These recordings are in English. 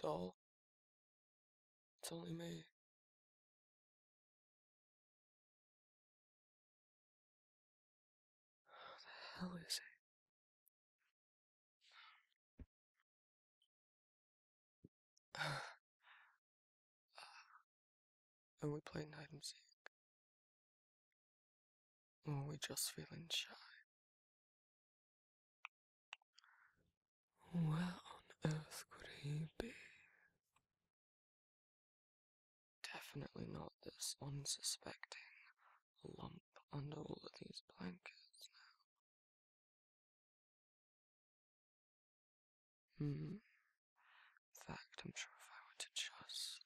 Doll? It's only me. Who the hell is it? and we play hide and seek. Or we just feeling shy. Where on earth could he be? Definitely not this unsuspecting lump under all of these blankets now. Hmm. In fact, I'm sure if I were to just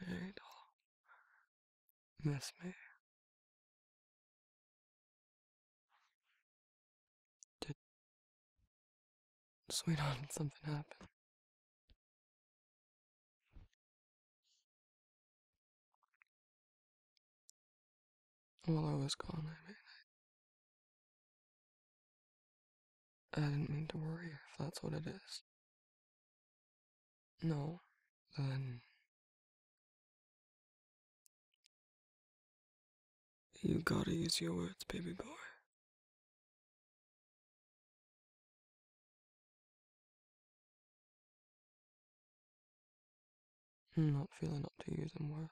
it'll miss me. Did sweetheart something happen? Well, I was gone, I mean, I, I didn't mean to worry if that's what it is. No, then. You gotta use your words, baby boy. I'm not feeling up to using words.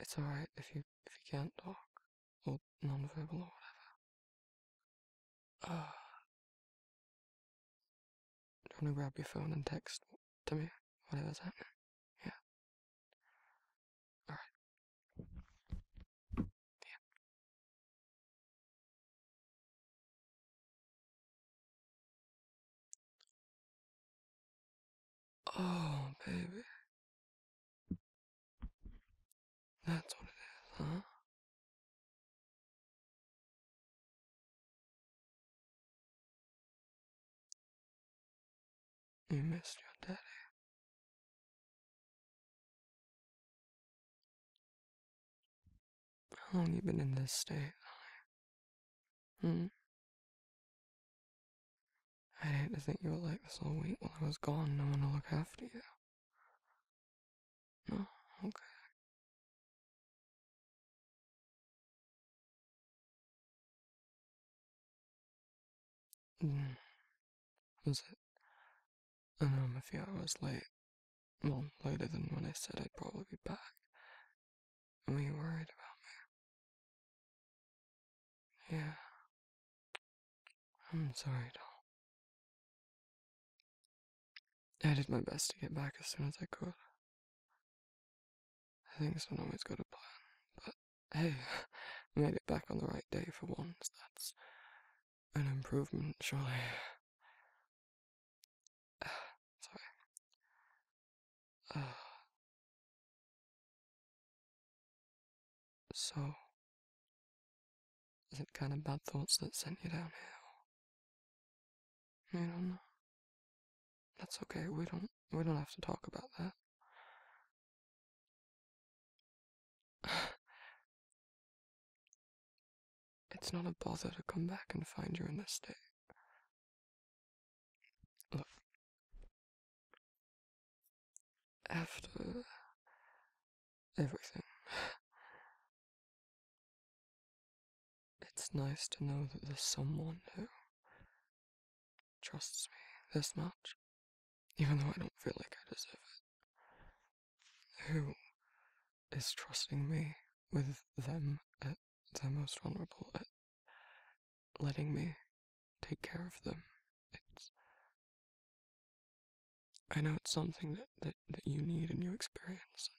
It's alright if you if you can't talk or nonverbal or whatever. Uh, do you to grab your phone and text Come me, What was that? Yeah. Alright. Yeah. Oh, baby. That's what it is, huh? You missed your daddy. How long you been in this state? Hmm? i hate to think you were like this all week while I was gone, no one to look after you. No, okay. Mm. Was it? Um, I know I'm a few hours late. Well, later than when I said I'd probably be back. And were you worried about me? Yeah. I'm sorry, doll. I did my best to get back as soon as I could. I think someone always got a plan, but hey, made it back on the right day for once. That's an improvement, surely. sorry. so, is it kind of bad thoughts that sent you down here? I don't know. That's okay. We don't we don't have to talk about that. it's not a bother to come back and find you in this state. Look. After everything, it's nice to know that there's someone who trusts me this much, even though I don't feel like I deserve it. Who is trusting me with them at uh, their most vulnerable, uh, letting me take care of them? It's. I know it's something that, that, that you need and you experience.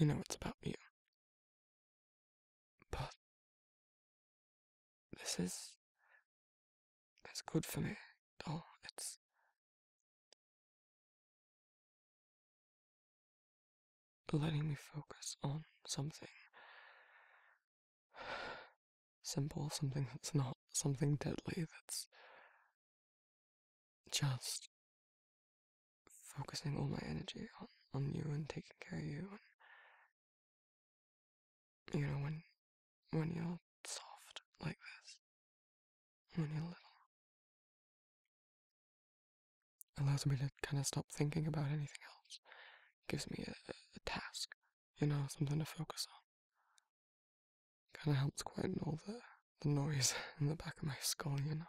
And you know it's about you. But this is it's good for me. Oh, it's letting me focus on something simple, something that's not something deadly, that's just focusing all my energy on, you and taking care of you and you know when when you're soft like this when you're little allows me to kind of stop thinking about anything else gives me a task you know something to focus on kind of helps quieten all the the noise in the back of my skull you know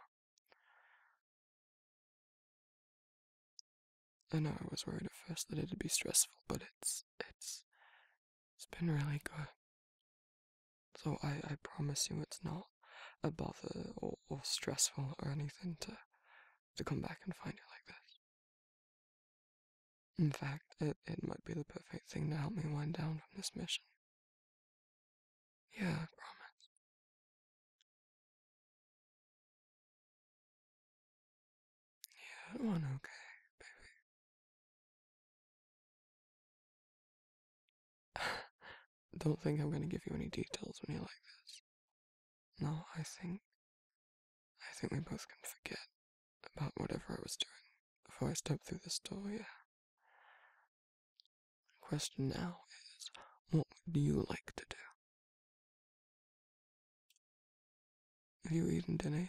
I know I was worried at first that it'd be stressful, but it's it's it's been really good. So I, I promise you it's not a bother or, or stressful or anything to to come back and find it like this. In fact, it, it might be the perfect thing to help me wind down from this mission. Yeah, I promise. Yeah, oh, one okay, baby. Don't think I'm gonna give you any details when you like this. No, I think I think we both can forget about whatever I was doing before I stepped through this door, yeah. The question now is, what would you like to do? Have you eaten dinner yet?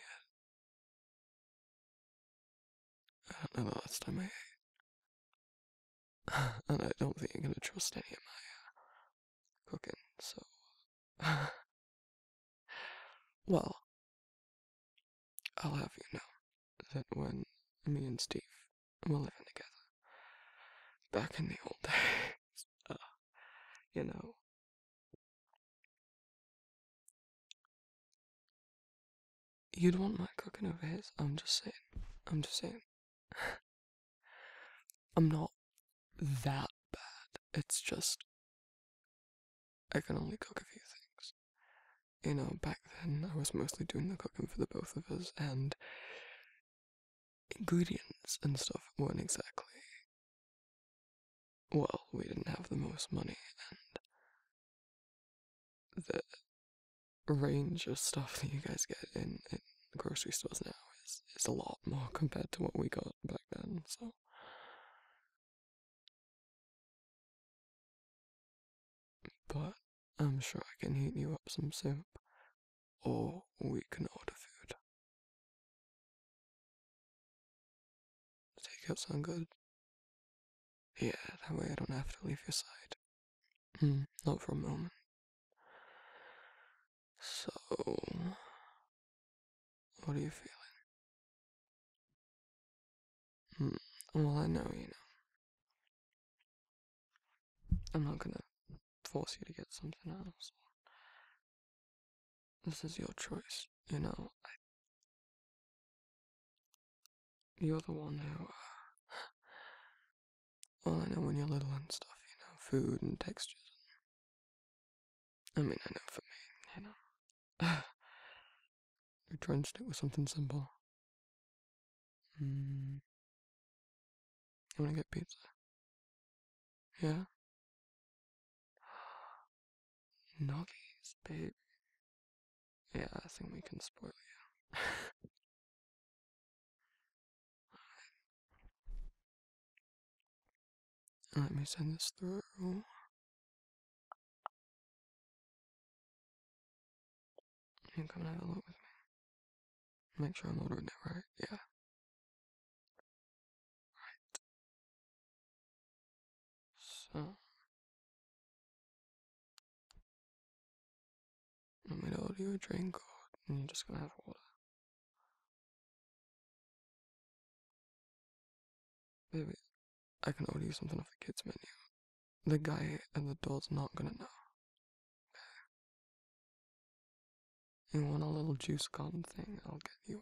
I don't know the last time I ate. and I don't think I'm gonna trust any of my uh, cooking, so. well, I'll have you know that when me and Steve we're living together. Back in the old days, uh, you know. You'd want my cooking over his. I'm just saying. I'm just saying. I'm not that bad. It's just I can only cook a few things. You know, back then I was mostly doing the cooking for the both of us, and ingredients and stuff weren't exactly. Well, we didn't have the most money, and the range of stuff that you guys get in, grocery stores now is, is a lot more compared to what we got back then, so. But I'm sure I can heat you up some soup, or we can order food. Take out sound good? Yeah, that way I don't have to leave your side. Mm, not for a moment. So, what are you feeling? Mm, well, I know you know. I'm not gonna force you to get something else. This is your choice, you know. you're the one who. Uh, well, I know when you're little and stuff, you know, food and textures. And, I mean, I know for me, you know. you drenched it with something simple. Mm. I'm gonna get pizza. Yeah? Noggy's baby. Yeah, I think we can spoil you. Let me send this through and come and have a look with me. Make sure I'm ordering it right, yeah. Right. So. I'm going to order you a drink, or, and you're just going to have water. Maybe I can order you something off the kids' menu. The guy at the door's not gonna know. You want a little juice gum thing? I'll get you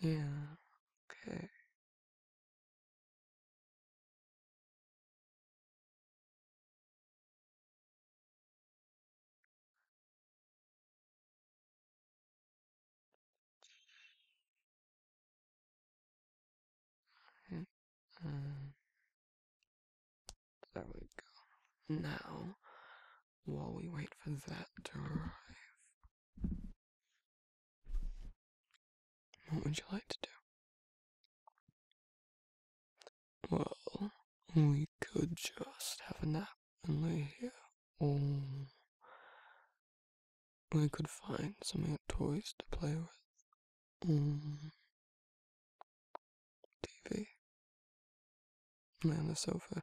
one, like. Yeah, okay. Um, there we go. Now, while we wait for that to arrive, what would you like to do? Well, we could just have a nap and lay here, or we could find some toys to play with. Mm-hmm. TV. And on the sofa,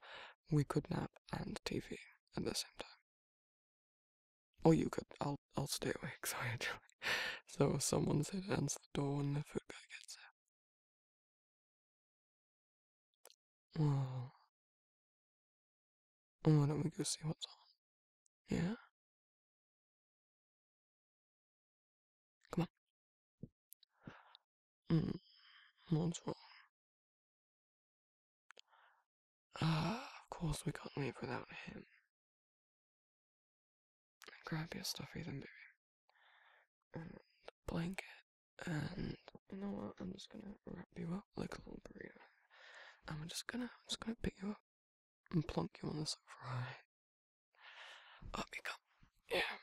we could nap and TV at the same time. Or you could. I'll I'll stay awake. Sorry, actually. So someone's said answer the door when the food guy gets there. Well, why don't we go see what's on? Yeah. Come on. Mm, what's wrong? Ah, of course we can't leave without him. Grab your stuffy then, baby. And blanket, and you know what? I'm just gonna wrap you up like a little burrito. I'm just gonna, I'm just gonna pick you up and plonk you on the sofa. Right. Up you come. Yeah.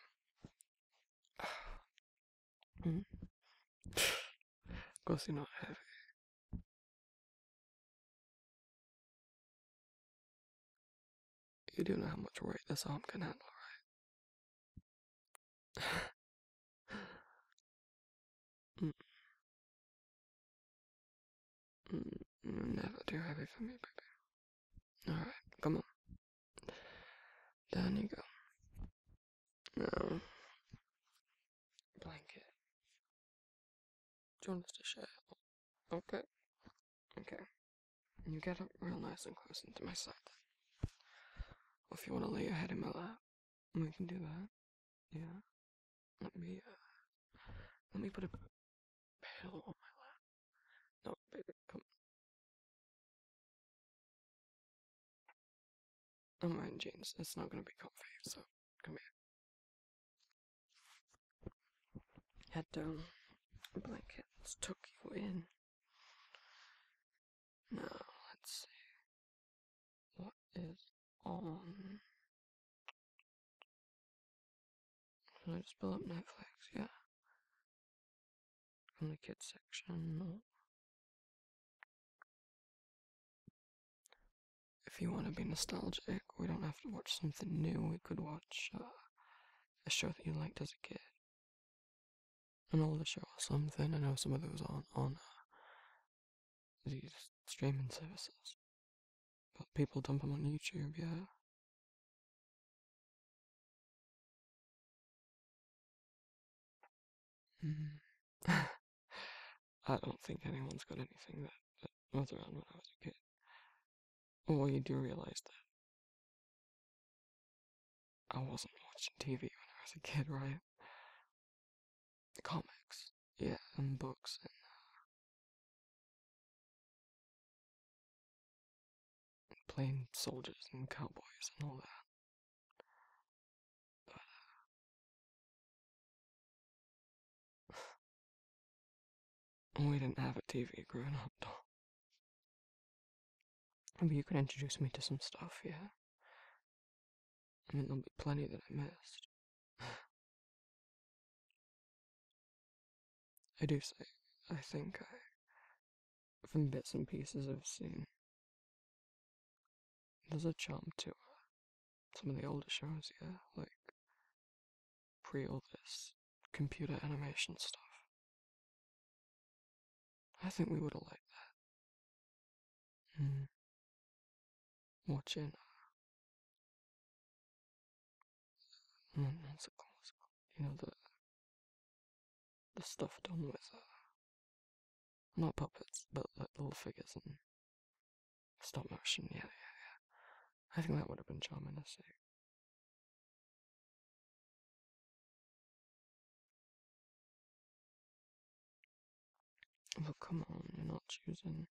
of course, you're not heavy. You do know how much weight this arm can handle, right? Mm. Mm, Never too heavy for me, baby. Alright, come on. Down you go. Now, blanket. Do you want us to share? Okay. Okay. You get up real nice and close into my side. Or if you want to lay your head in my lap, we can do that. Yeah. Let me, uh, let me put a pillow on my lap. No, baby, come on. Don't mind, James. It's not gonna be comfy, so come here. Head down. Um, Blanket. took you in. Now, let's see. What is on can I just pull up Netflix? Yeah. From the kids section. If you want to be nostalgic, we don't have to watch something new. We could watch uh, a show that you liked as a kid. An older show or something. I know some of those aren't on uh, these streaming services. But people dump them on YouTube, yeah. Mm-hmm. I don't think anyone's got anything that, was around when I was a kid. Well, you do realize that I wasn't watching TV when I was a kid, right? Comics, yeah, and books and uh, Playing soldiers and cowboys and all that. But, uh, we didn't have a TV growing up, though. Maybe you can introduce me to some stuff, yeah? I mean, there'll be plenty that I missed. I do say, I think I, from bits and pieces I've seen, there's a charm to uh, some of the older shows, yeah, like pre all this computer animation stuff. I think we would have liked that. Mm. Watching uh, you know, the, the stuff done with, uh, not puppets, but uh, little figures and stop motion, yeah, yeah, yeah. I think that would have been charming to see. But come on, you're not choosing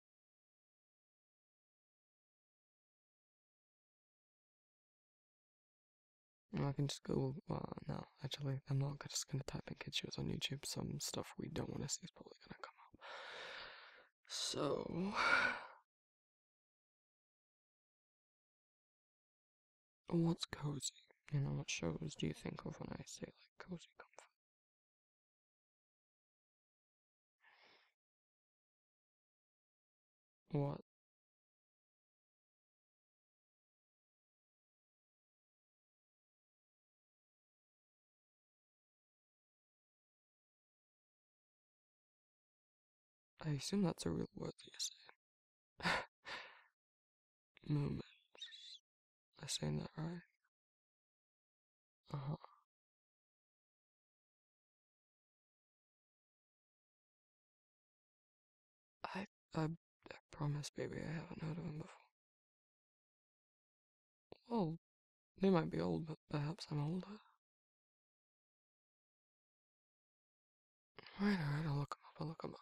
I can just go, well, no, actually, I'm not just gonna type in kids shows on YouTube. Some stuff we don't want to see is probably gonna come up. So, what's cozy? You know, what shows do you think of when I say like cozy comfort? What? I assume that's a real world essay. Moments. I saying that right? Uh-huh. I, I, promise, baby, I haven't heard of him before. Well, they might be old, but perhaps I'm older. Right, alright, I'll look him up, I'll look him up.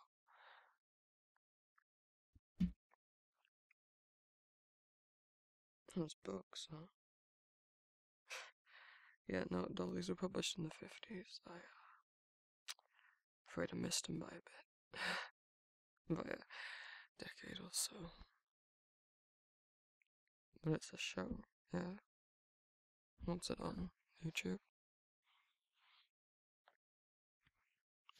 Those books, huh? yeah, no, all these were published in the 50s. I, uh, afraid I missed them by a bit. by a decade or so. But it's a show, yeah. What's it on? YouTube?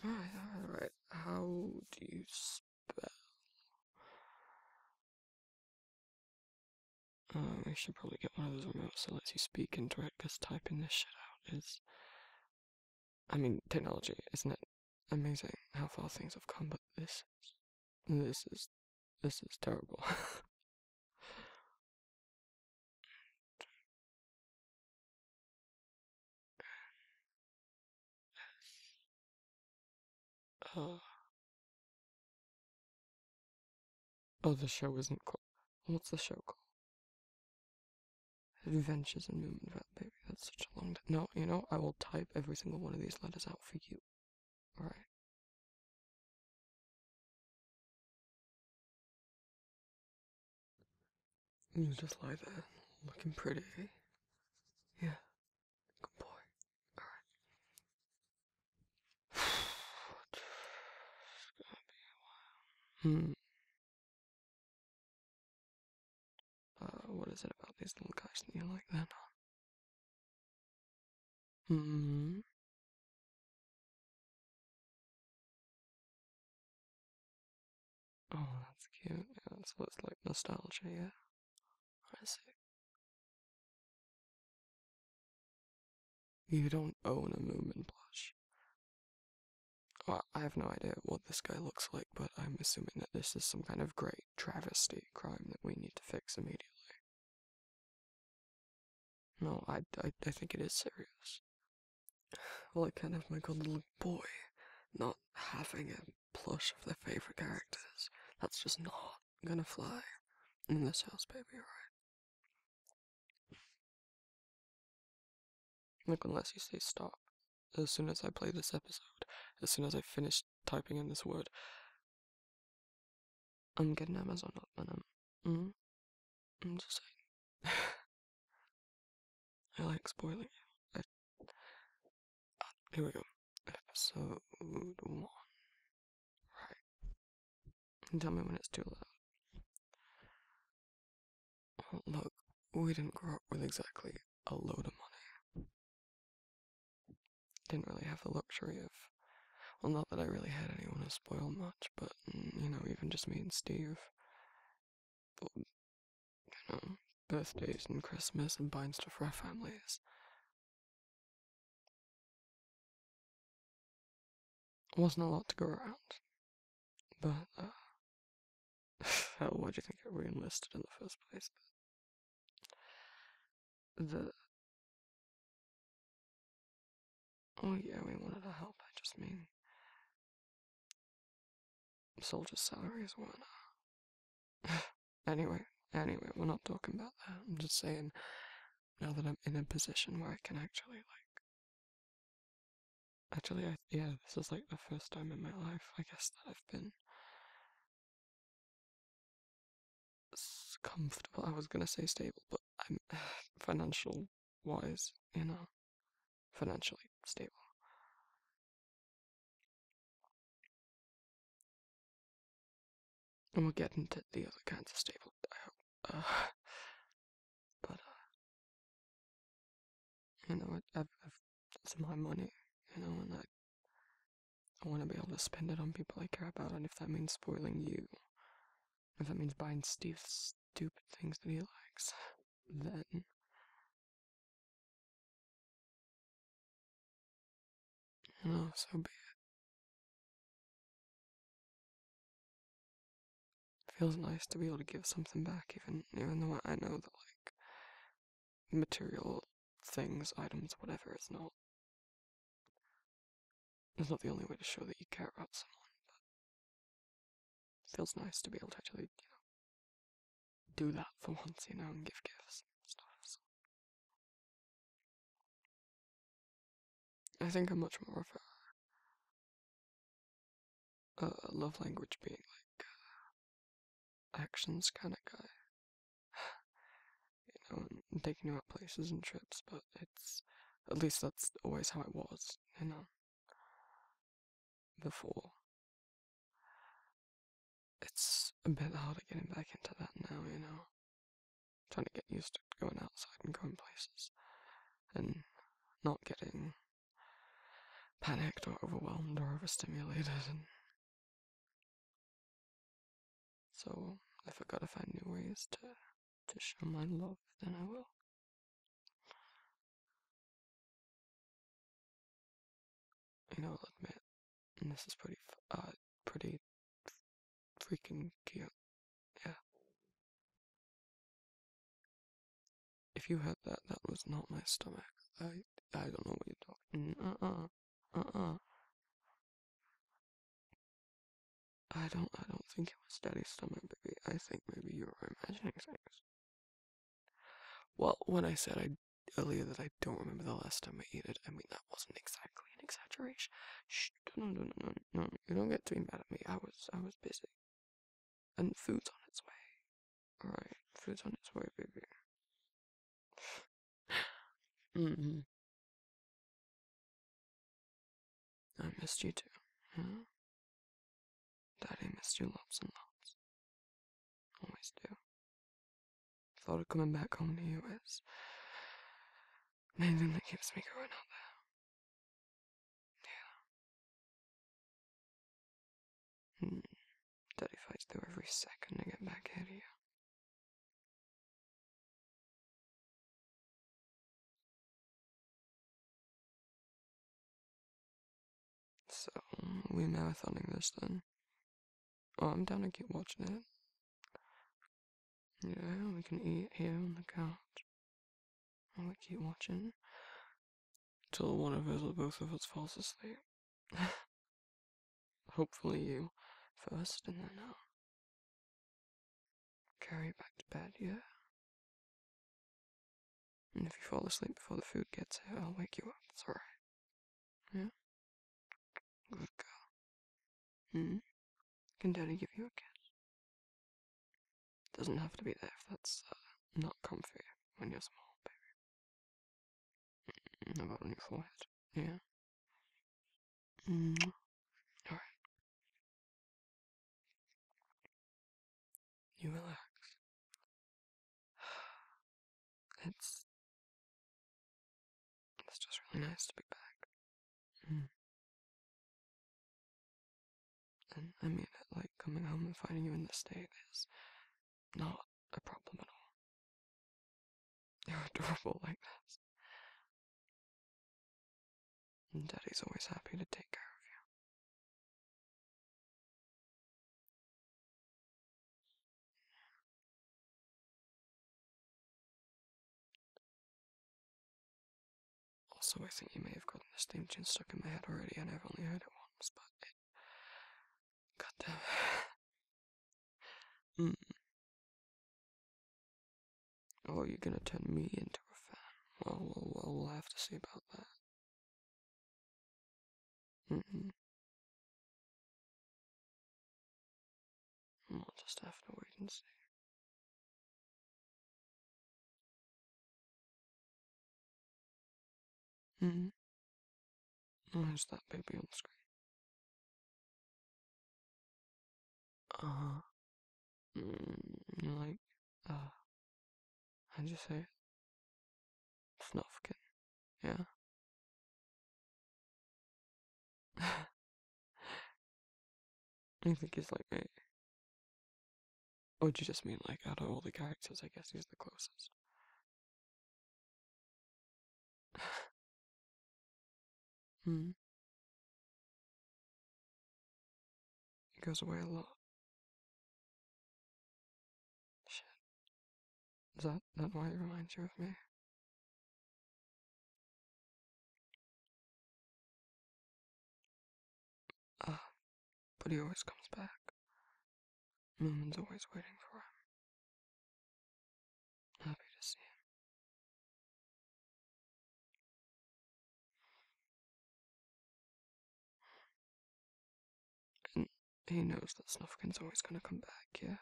Oh, alright, alright. How do you spell. Um, I should probably get one of those remotes that lets you speak and it, because typing this shit out is. I mean, technology, isn't it amazing how far things have come, but this. This is. This is terrible. Oh. oh, the show isn't called. What's the show called? Adventures in Moomin Rat That's such a long. T- no, you know I will type every single one of these letters out for you. All right. You just lie there, looking pretty. Yeah, Good boy. Alright. it's gonna be a while. Hmm. Uh, what is it about these little guys that you like then, huh? Hmm. Oh, that's cute. That's what's like nostalgia, yeah. You don't own a Moomin plush. I have no idea what this guy looks like, but I'm assuming that this is some kind of great travesty crime that we need to fix immediately. No, I, I think it is serious. Well, I can't have my good little boy not having a plush of their favorite characters. That's just not I'm gonna fly in this house, baby, Right. Like, unless you say stop, as soon as I play this episode, as soon as I finish typing in this word, I'm getting Amazon up, and I'm. Mm, I'm just saying. I like spoiling you. Here we go. Episode one. Right. Tell me when it's too loud. look, we didn't grow up with exactly a load of money. Didn't really have the luxury of. Well, not that I really had anyone to spoil much, but, mm, you know, even just me and Steve. you know, birthdays and Christmas and buying stuff for our families. Wasn't a lot to go around, but uh, hell, why would you think I re-enlisted in the first place? But the oh yeah, we wanted to help. I just mean soldiers' salaries weren't uh, Anyway, anyway, we're not talking about that. I'm just saying now that I'm in a position where I can actually like Actually, I, yeah, this is like the first time in my life, I guess, that I've been comfortable. I was gonna say stable, but I'm financial wise, you know, financially stable. And we'll get into the other kinds of stable, I hope. but, uh, you know, I, it's my money, you know, and I, want to be able to spend it on people I care about, and if that means spoiling you, if that means buying Steve stupid things that he likes, then you know, so be it. Feels nice to be able to give something back, even even though I know that like material things, items, whatever is not is not the only way to show that you care about someone. But feels nice to be able to actually you know do that for once, you know, and give gifts and stuff. I think I'm much more of a, love language being like uh, actions kind of guy. you know, and taking you out places and trips, but it's at least that's always how it was, you know, before it's a bit harder getting back into that now, you know. trying to get used to going outside and going places and not getting panicked or overwhelmed or overstimulated so if I gotta find new ways to to show my love, then I will. And I'll admit, this is pretty, uh, pretty freaking cute. Yeah. If you had that, that was not my stomach. I, I don't know what you're talking. Uh-uh. Uh-uh. I don't, I don't think it was daddy's stomach, baby. I think maybe you were imagining things. Well, when I said I earlier that I don't remember the last time I ate it. I mean, that wasn't exactly an exaggeration. Shh, You don't get to be mad at me. I was, I was busy. And food's on its way. Alright, food's on its way, baby. mm-hmm. I missed you too, huh? Daddy missed you lots and lots. Always do. thought of coming back home to you was, main thing that keeps me going out there. Yeah. Hmm. Daddy fights through every second to get back here to you. So, we marathoning this then. Oh, I'm down to keep watching it. Yeah, we can eat here on the couch. I'll keep watching till one of us or both of us falls asleep. Hopefully, you first, and then I'll carry you back to bed, yeah? And if you fall asleep before the food gets here, I'll wake you up, Sorry. Yeah. Good girl. Mm. Mm-hmm. Can Daddy give you a kiss? Doesn't have to be there if that's uh, not comfy when you're small, baby. About mm-hmm. on your forehead. Yeah. Mm. Mm-hmm. Alright. You relax. It's it's just really nice to be back. Mm. And I mean it, like coming home and finding you in this state is not a problem at all. You're adorable like this. Daddy's always happy to take care of you. Also, I think you may have gotten this theme tune stuck in my head already, and I've only heard it once, but it. God damn. mm. Oh, you're gonna turn me into a fan? Well, we'll have to see about that. We'll hmm, just have to wait and see. hmm. Where's oh, that baby on the screen? Uh huh. Mm, like, uh, how'd you say Snuffkin. Yeah. I think he's like my. do you just mean like out of all the characters? I guess he's the closest. hmm. He goes away a lot. Shit. Is that not why he reminds you of me? Ah, but he always comes back. Norman's always waiting for him. Happy to see him. And he knows that Snufkin's always gonna come back, yeah?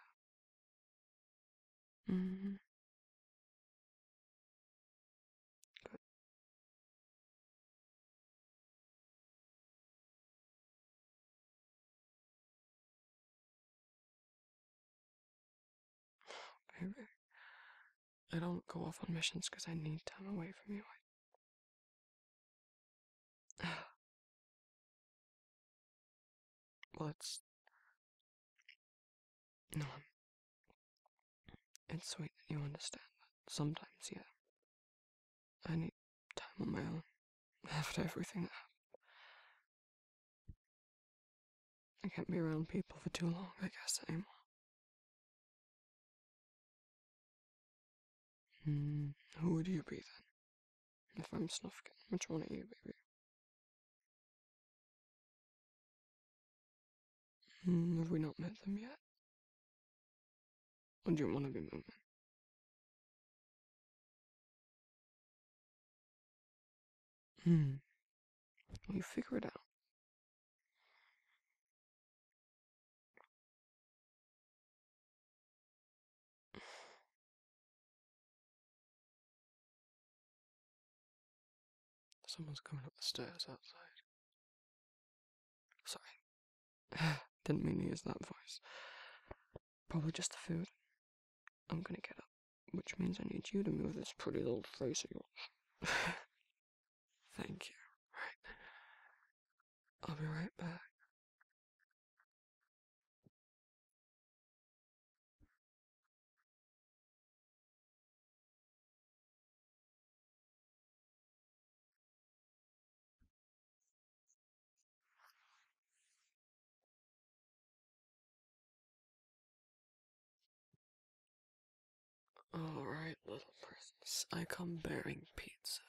mm I don't go off on missions because I need time away from you. Well, it's. No. It's sweet that you understand, but sometimes, yeah. I need time on my own after everything that happened. I can't be around people for too long, I guess, anymore. Mm, who would you be then? if I'm snuffing, which one are you, baby? Mm, have we not met them yet? Or do you want to be moving? Hmm. Well, you figure it out. Someone's coming up the stairs outside. Sorry. Didn't mean to use that voice. Probably just the food. I'm gonna get up, which means I need you to move this pretty little face of yours. Thank you. I'll be right back. All right, little prince. I come bearing pizza.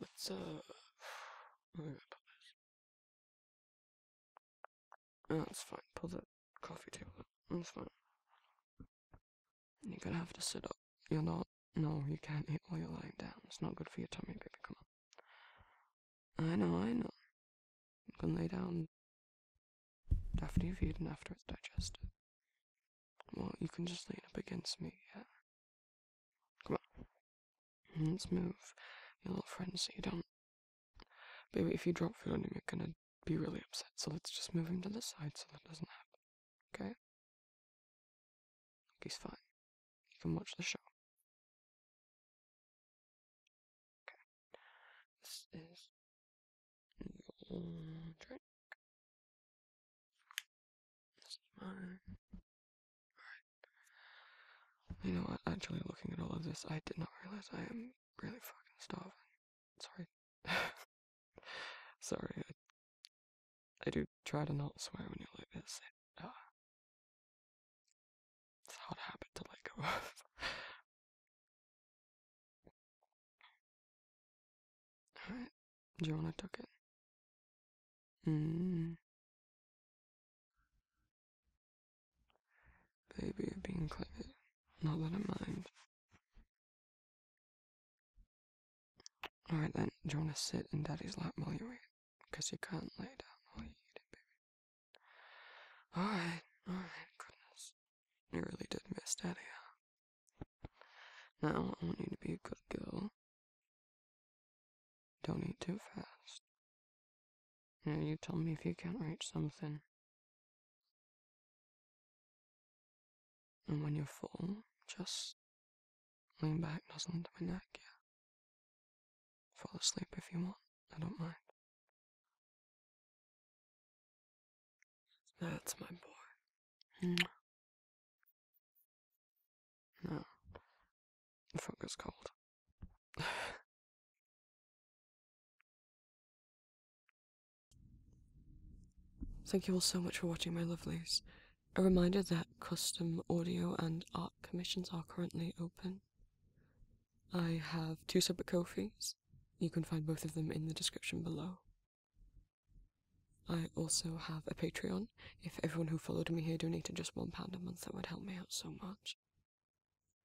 Let's, uh, oh, that's fine. Pull that coffee table. Up. That's fine. You're gonna have to sit up. You're not. No, you can't eat while you're lying down. It's not good for your tummy, baby. Come on. I know, I know. You can lay down after you've eaten, after it's digested. Well, you can just lean up against me, yeah? Come on. Let's move, your little friend, so you don't. Baby, if you drop food on him, you're gonna be really upset, so let's just move him to the side so that doesn't happen. Okay? He's fine. You can watch the show. Okay. This is your drink. You know what? Actually, looking at all of this, I did not realize I am really fucking starving. Sorry. Sorry. I, do try to not swear when you're like this. Uh, it's hard habit to let go of. Alright. Jonah took it. Hmm. Baby, being clever. Not that I mind. Alright then, Jonah, sit in daddy's lap while you eat. Because you can't lay down while you eat it, baby. Alright, alright, goodness. You really did miss daddy, Now I want you to be a good girl don't eat too fast. And you tell me if you can't reach something. And when you're full, just lean back, nuzzle into my neck, yeah. Fall asleep if you want, I don't mind. That's my boy. No. My finger's cold. Thank you all so much for watching, my lovelies. A reminder that custom audio and art commissions are currently open. I have two separate coffees. You can find both of them in the description below. I also have a Patreon. If everyone who followed me here donated just one pound a month, that would help me out so much.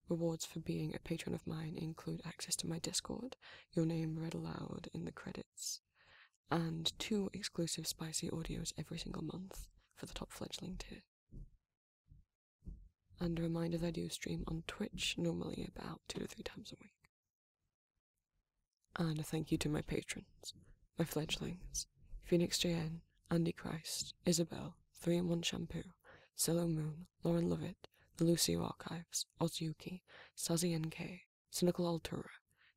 Rewards for being a patron of mine include access to my Discord, your name read aloud in the credits, and two exclusive spicy audios every single month for the top fledgling tier. And a reminder that I do stream on Twitch, normally about two to three times a week. And a thank you to my patrons, my fledglings, Phoenix JN, Andy Christ, Isabel, 3 in 1 Shampoo, Cello Moon, Lauren Lovett, The Lucio Archives, Ozzyuki, Sazi NK, Cynical Altura,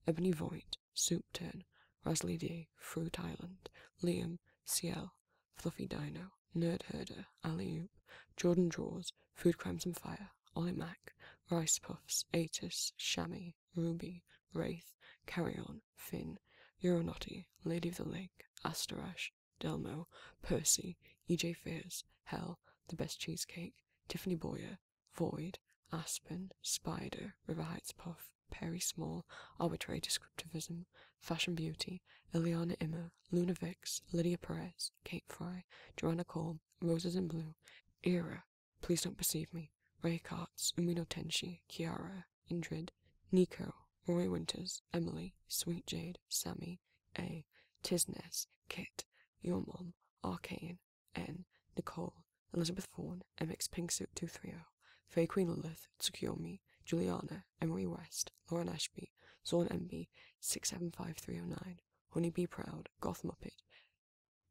Ebony Void, Soup Turn, Rasley D, Fruit Island, Liam, Ciel Fluffy Dino, Nerd Herder, Alley Oop, Jordan Draws, Food Crimes and Fire, Ollie Mac, Rice Puffs, Atis, Chamois, Ruby, Ruby, Wraith, Carrion, Finn, Euronauty, Lady of the Lake, Asterash, Delmo, Percy, E.J. Fears, Hell, The Best Cheesecake, Tiffany Boyer, Void, Aspen, Spider, River Heights Puff, Perry Small, Arbitrary Descriptivism, Fashion Beauty, Eliana Immer, Luna Vix, Lydia Perez, Kate Fry, Joanna Cole, Roses in Blue, Era, Please don't perceive me. Ray Katz, Umino Tenshi, Kiara, Indrid, Nico, Roy Winters, Emily, Sweet Jade, Sammy, A, Tisness, Kit, Your Mom, Arcane, N, Nicole, Elizabeth Fawn, MX Pink Suit 230, Faye Queen Lilith, Tsukiyomi, Juliana, Emery West, Lauren Ashby, Zorn MB, 675309, Honey Honeybee Proud, Goth Muppet,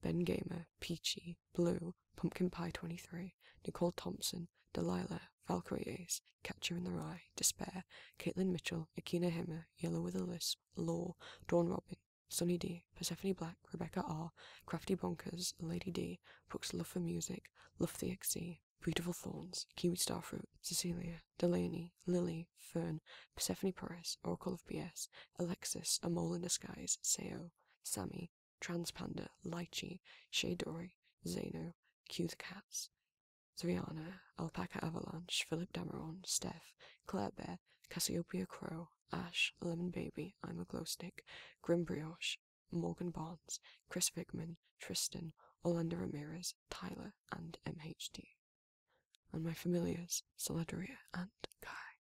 Ben Gamer, Peachy, Blue, Pumpkin Pie 23, Nicole Thompson, Delilah, Valkyrie Ace, Catcher in the Rye, Despair, Caitlin Mitchell, Akina Hemmer, Yellow with a Lisp, Law, Dawn Robin, Sunny D, Persephone Black, Rebecca R, Crafty Bonkers, Lady D, Books Love for Music, Love the XC, Beautiful Thorns, Kiwi Starfruit, Cecilia, Delaney, Lily, Fern, Persephone Perez, Oracle of BS, Alexis, A Mole in Disguise, Seo, Sammy, Ivy, Transpanda, Lychee, Shadori, Zeno, Cue the Cats, Zriana, Alpaca Avalanche, Philip Dameron, Steph, Claire Bear, Cassiopeia Crow, Ash, Lemon Baby, I'm a Glow Stick, Grim Brioche, Morgan Barnes, Chris Vickman, Tristan, Orlando Ramirez, Tyler, and MHD. And my familiars, Solidaria and Kai.